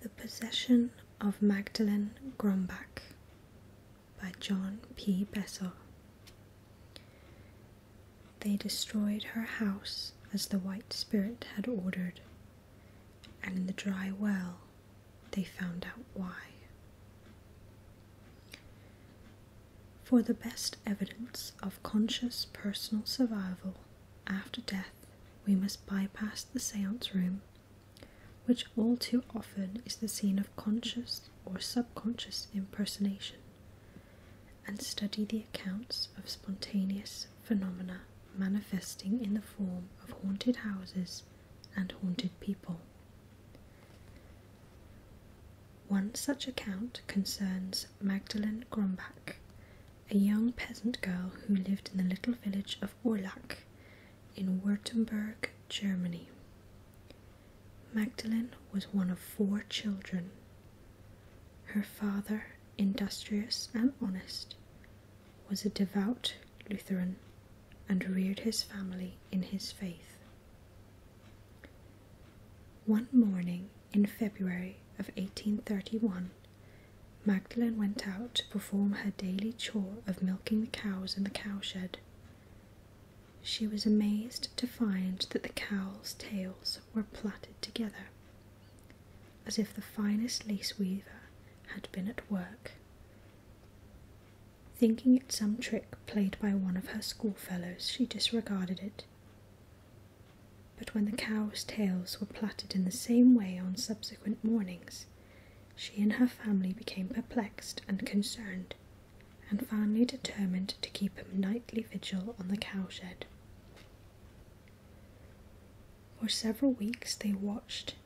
The Possession of Magdalen Grumbach by John P. Bessel. They destroyed her house as the White Spirit had ordered, and in the dry well they found out why. For the best evidence of conscious personal survival, after death, we must bypass the seance room, which all too often is the scene of conscious or subconscious impersonation, and study the accounts of spontaneous phenomena manifesting in the form of haunted houses and haunted people. One such account concerns Magdalene Grumbach, a young peasant girl who lived in the little village of Urlach in Württemberg, Germany. Magdalene was one of four children. Her father, industrious and honest, was a devout Lutheran and reared his family in his faith. One morning in February of 1831, Magdalen went out to perform her daily chore of milking the cows in the cowshed. She was amazed to find that the cows' tails were plaited together, as if the finest lace weaver had been at work. Thinking it some trick played by one of her schoolfellows, she disregarded it. But when the cows' tails were plaited in the same way on subsequent mornings, she and her family became perplexed and concerned, and finally determined to keep a nightly vigil on the cowshed. For several weeks they watched,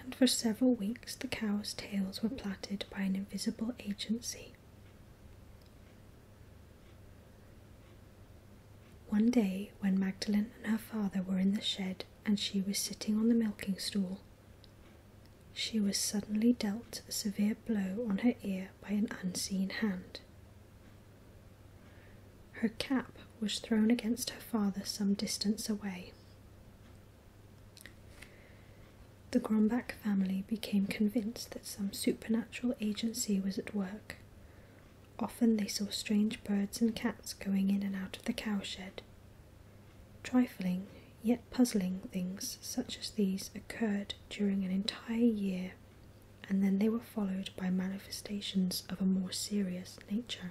and for several weeks the cows' tails were plaited by an invisible agency. One day, when Magdalen and her father were in the shed and she was sitting on the milking stool, she was suddenly dealt a severe blow on her ear by an unseen hand. Her cap was thrown against her father some distance away. The Grumbach family became convinced that some supernatural agency was at work, Often they saw strange birds and cats going in and out of the cowshed. Trifling, yet puzzling things such as these occurred during an entire year, and then they were followed by manifestations of a more serious nature.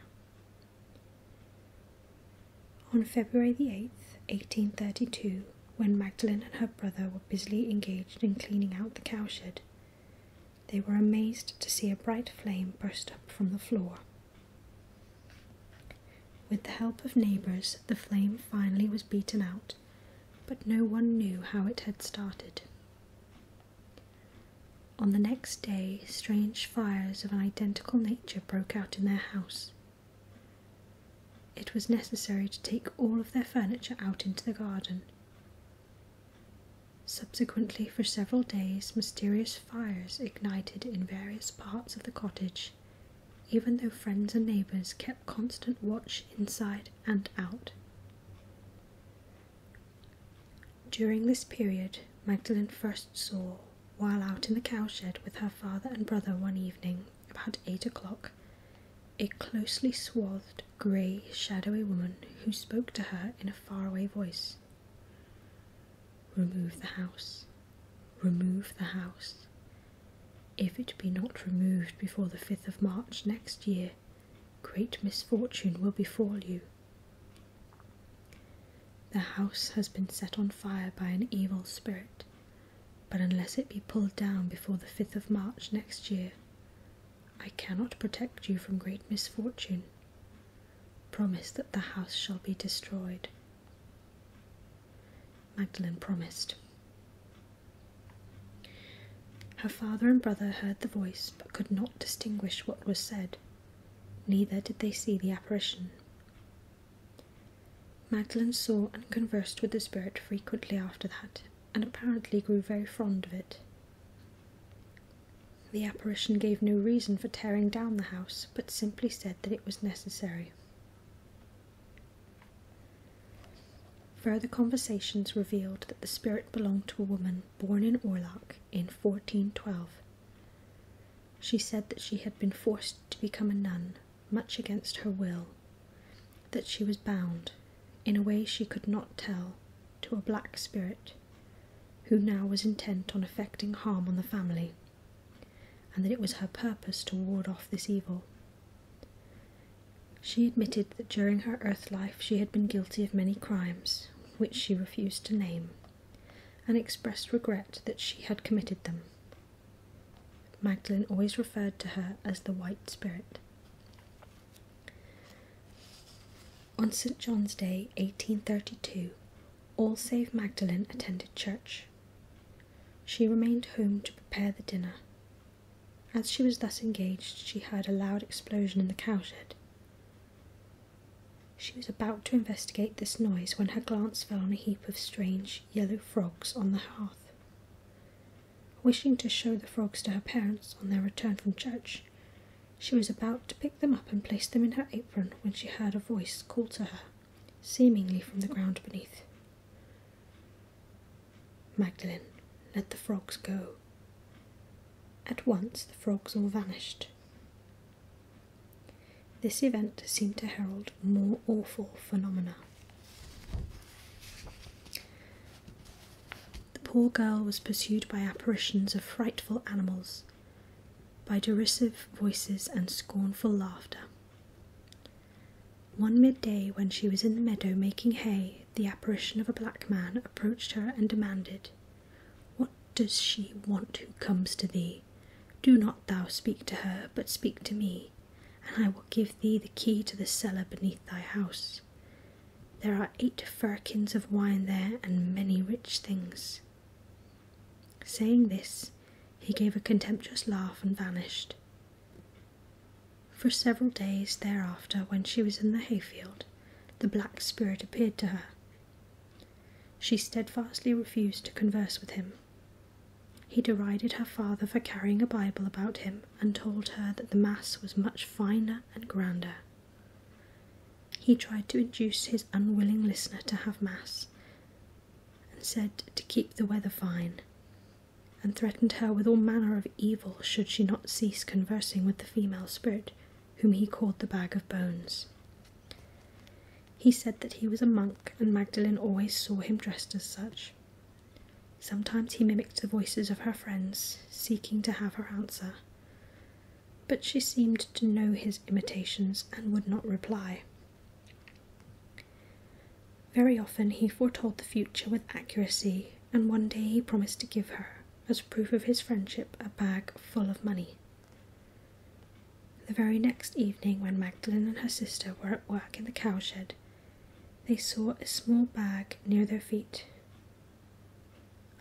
On February 8, 1832, when Magdalen and her brother were busily engaged in cleaning out the cowshed, they were amazed to see a bright flame burst up from the floor. With the help of neighbours, the flame finally was beaten out, but no one knew how it had started. On the next day, strange fires of an identical nature broke out in their house. It was necessary to take all of their furniture out into the garden, Subsequently, for several days, mysterious fires ignited in various parts of the cottage, even though friends and neighbours kept constant watch inside and out. During this period, Magdalen first saw, while out in the cowshed with her father and brother one evening, about eight o'clock, a closely swathed grey, shadowy woman who spoke to her in a faraway voice. Remove the house. Remove the house. If it be not removed before the 5th of March next year, great misfortune will befall you. The house has been set on fire by an evil spirit, but unless it be pulled down before the 5th of March next year, I cannot protect you from great misfortune. Promise that the house shall be destroyed. Magdalen promised. Her father and brother heard the voice, but could not distinguish what was said, neither did they see the apparition. Magdalen saw and conversed with the spirit frequently after that, and apparently grew very fond of it. The apparition gave no reason for tearing down the house, but simply said that it was necessary. Further conversations revealed that the spirit belonged to a woman born in Orlach in 1412. She said that she had been forced to become a nun, much against her will, that she was bound, in a way she could not tell, to a black spirit who now was intent on effecting harm on the family, and that it was her purpose to ward off this evil. She admitted that during her earth life she had been guilty of many crimes, which she refused to name, and expressed regret that she had committed them. Magdalen always referred to her as the White Spirit. On St. John's Day, 1832, all save Magdalen attended church. She remained home to prepare the dinner. As she was thus engaged, she heard a loud explosion in the cowshed. She was about to investigate this noise when her glance fell on a heap of strange yellow frogs on the hearth. Wishing to show the frogs to her parents on their return from church, she was about to pick them up and place them in her apron when she heard a voice call to her, seemingly from the ground beneath. Magdalen, let the frogs go. At once the frogs all vanished. This event seemed to herald more awful phenomena the poor girl was pursued by apparitions of frightful animals, by derisive voices and scornful laughter. One midday, when she was in the meadow making hay, the apparition of a black man approached her and demanded, What does she want who comes to thee? Do not thou speak to her, but speak to me, and I will give thee the key to the cellar beneath thy house. There are eight firkins of wine there, and many rich things. Saying this, he gave a contemptuous laugh and vanished. For several days thereafter, when she was in the hayfield, the black spirit appeared to her. She steadfastly refused to converse with him. He derided her father for carrying a Bible about him and told her that the Mass was much finer and grander he tried to induce his unwilling listener to have mass, and said to keep the weather fine, and threatened her with all manner of evil should she not cease conversing with the female spirit, whom he called the Bag of Bones. He said that he was a monk, and Magdalen always saw him dressed as such. Sometimes he mimicked the voices of her friends, seeking to have her answer but she seemed to know his imitations and would not reply. Very often he foretold the future with accuracy, and one day he promised to give her, as proof of his friendship, a bag full of money. The very next evening, when Magdalen and her sister were at work in the cowshed, they saw a small bag near their feet.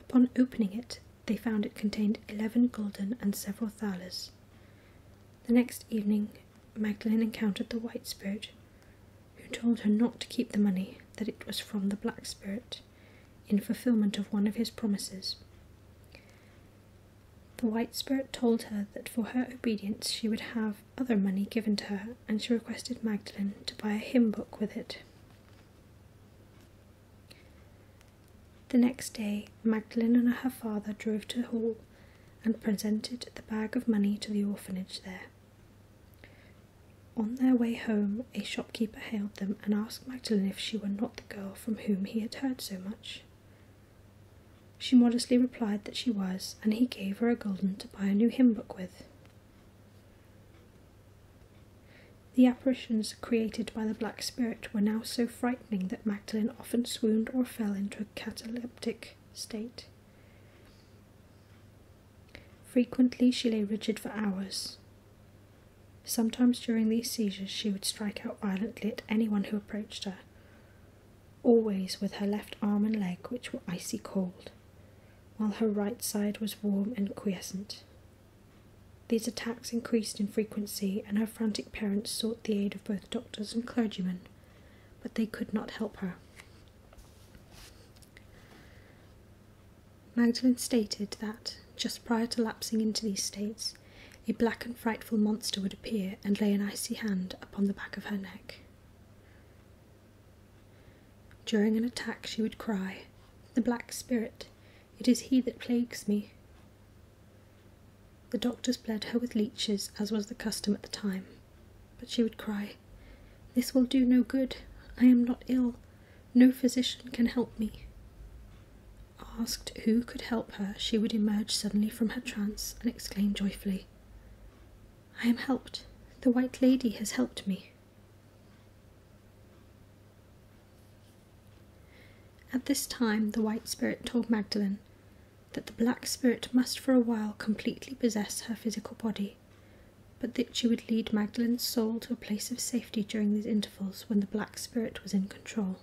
Upon opening it, they found it contained eleven gulden and several thalers. The next evening, Magdalen encountered the white spirit, who told her not to keep the money, that it was from the black spirit, in fulfillment of one of his promises. The white spirit told her that for her obedience she would have other money given to her, and she requested Magdalen to buy a hymn book with it. The next day, Magdalen and her father drove to Hall and presented the bag of money to the orphanage there. On their way home, a shopkeeper hailed them and asked Magdalen if she were not the girl from whom he had heard so much. She modestly replied that she was, and he gave her a gulden to buy a new hymn book with. The apparitions created by the black spirit were now so frightening that Magdalen often swooned or fell into a cataleptic state. Frequently, she lay rigid for hours. Sometimes during these seizures, she would strike out violently at anyone who approached her, always with her left arm and leg, which were icy cold, while her right side was warm and quiescent. These attacks increased in frequency, and her frantic parents sought the aid of both doctors and clergymen, but they could not help her. Magdalen stated that, just prior to lapsing into these states, a black and frightful monster would appear and lay an icy hand upon the back of her neck. During an attack, she would cry, The Black Spirit, it is he that plagues me. The doctors bled her with leeches, as was the custom at the time, but she would cry, This will do no good. I am not ill. No physician can help me. Asked who could help her, she would emerge suddenly from her trance and exclaim joyfully, I am helped. The White Lady has helped me. At this time, the white spirit told Magdalen that the black spirit must for a while completely possess her physical body, but that she would lead Magdalen's soul to a place of safety during these intervals when the black spirit was in control.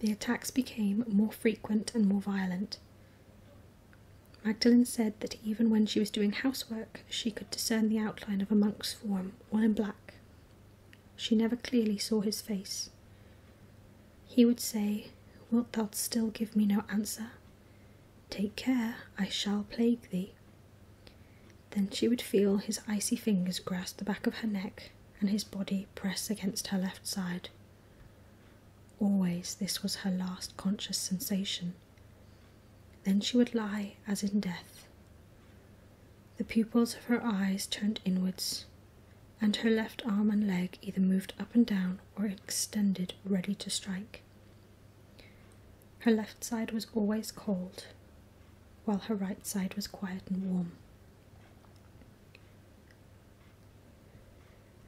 The attacks became more frequent and more violent. Magdalen said that even when she was doing housework, she could discern the outline of a monk's form, all in black. She never clearly saw his face. He would say, Wilt thou still give me no answer? Take care, I shall plague thee. Then she would feel his icy fingers grasp the back of her neck and his body press against her left side. Always, this was her last conscious sensation. Then she would lie as in death. The pupils of her eyes turned inwards, and her left arm and leg either moved up and down or extended ready to strike. Her left side was always cold, while her right side was quiet and warm.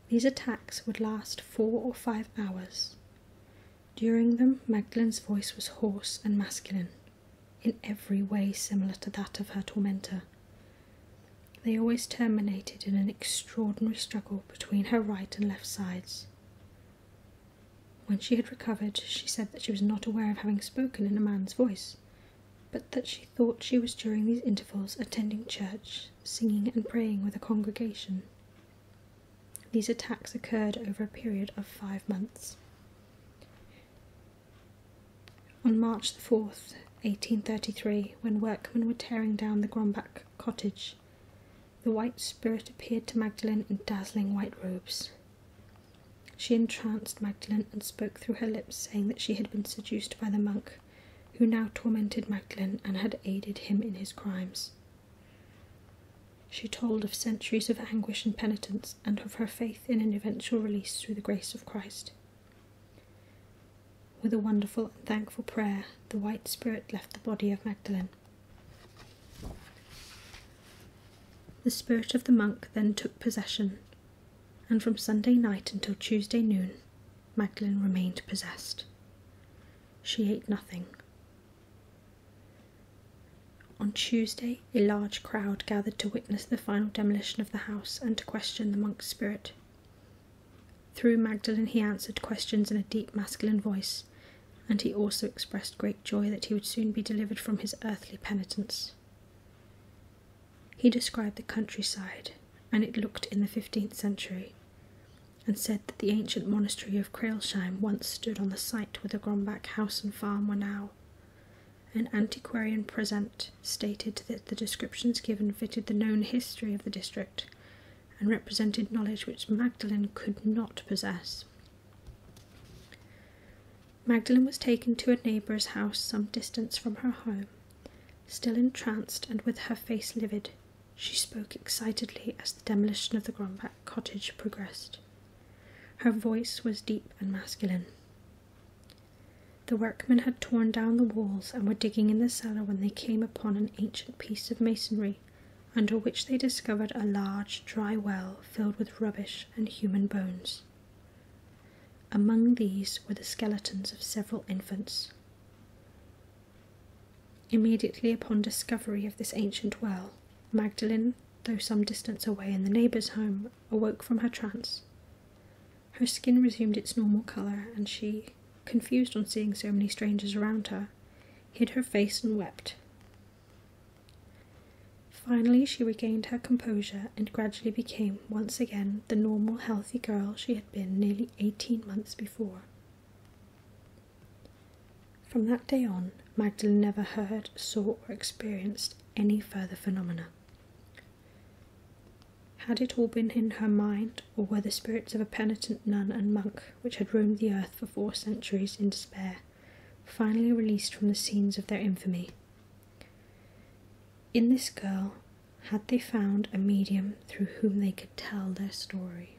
These attacks would last four or five hours, during them, Magdalen's voice was hoarse and masculine, in every way similar to that of her tormentor. They always terminated in an extraordinary struggle between her right and left sides. When she had recovered, she said that she was not aware of having spoken in a man's voice, but that she thought she was during these intervals attending church, singing and praying with a congregation. These attacks occurred over a period of five months. On March 4, 1833, when workmen were tearing down the Grumbach cottage, the white spirit appeared to Magdalen in dazzling white robes. She entranced Magdalen and spoke through her lips, saying that she had been seduced by the monk, who now tormented Magdalen and had aided him in his crimes. She told of centuries of anguish and penitence and of her faith in an eventual release through the grace of Christ. With a wonderful and thankful prayer, the white spirit left the body of Magdalen. The spirit of the monk then took possession, and from Sunday night until Tuesday noon, Magdalen remained possessed. She ate nothing. On Tuesday, a large crowd gathered to witness the final demolition of the house and to question the monk's spirit. Through Magdalen, he answered questions in a deep masculine voice, and he also expressed great joy that he would soon be delivered from his earthly penitence. He described the countryside, and it looked in the 15th century and said that the ancient monastery of Crailsheim once stood on the site where the Grombach house and farm were now. An antiquarian present stated that the descriptions given fitted the known history of the district and represented knowledge which Magdalen could not possess. Magdalen was taken to a neighbour's house some distance from her home. Still entranced and with her face livid, she spoke excitedly as the demolition of the Grombach cottage progressed. Her voice was deep and masculine. The workmen had torn down the walls and were digging in the cellar when they came upon an ancient piece of masonry, under which they discovered a large, dry well filled with rubbish and human bones. Among these were the skeletons of several infants. Immediately upon discovery of this ancient well, Magdalen, though some distance away in the neighbor's home, awoke from her trance. Her skin resumed its normal colour, and she, confused on seeing so many strangers around her, hid her face and wept. Finally, she regained her composure and gradually became once again the normal, healthy girl she had been nearly eighteen months before. From that day on, Magdalen never heard, saw, or experienced any further phenomena. Had it all been in her mind, or were the spirits of a penitent nun and monk, which had roamed the earth for four centuries in despair, finally released from the scenes of their infamy? In this girl, had they found a medium through whom they could tell their story?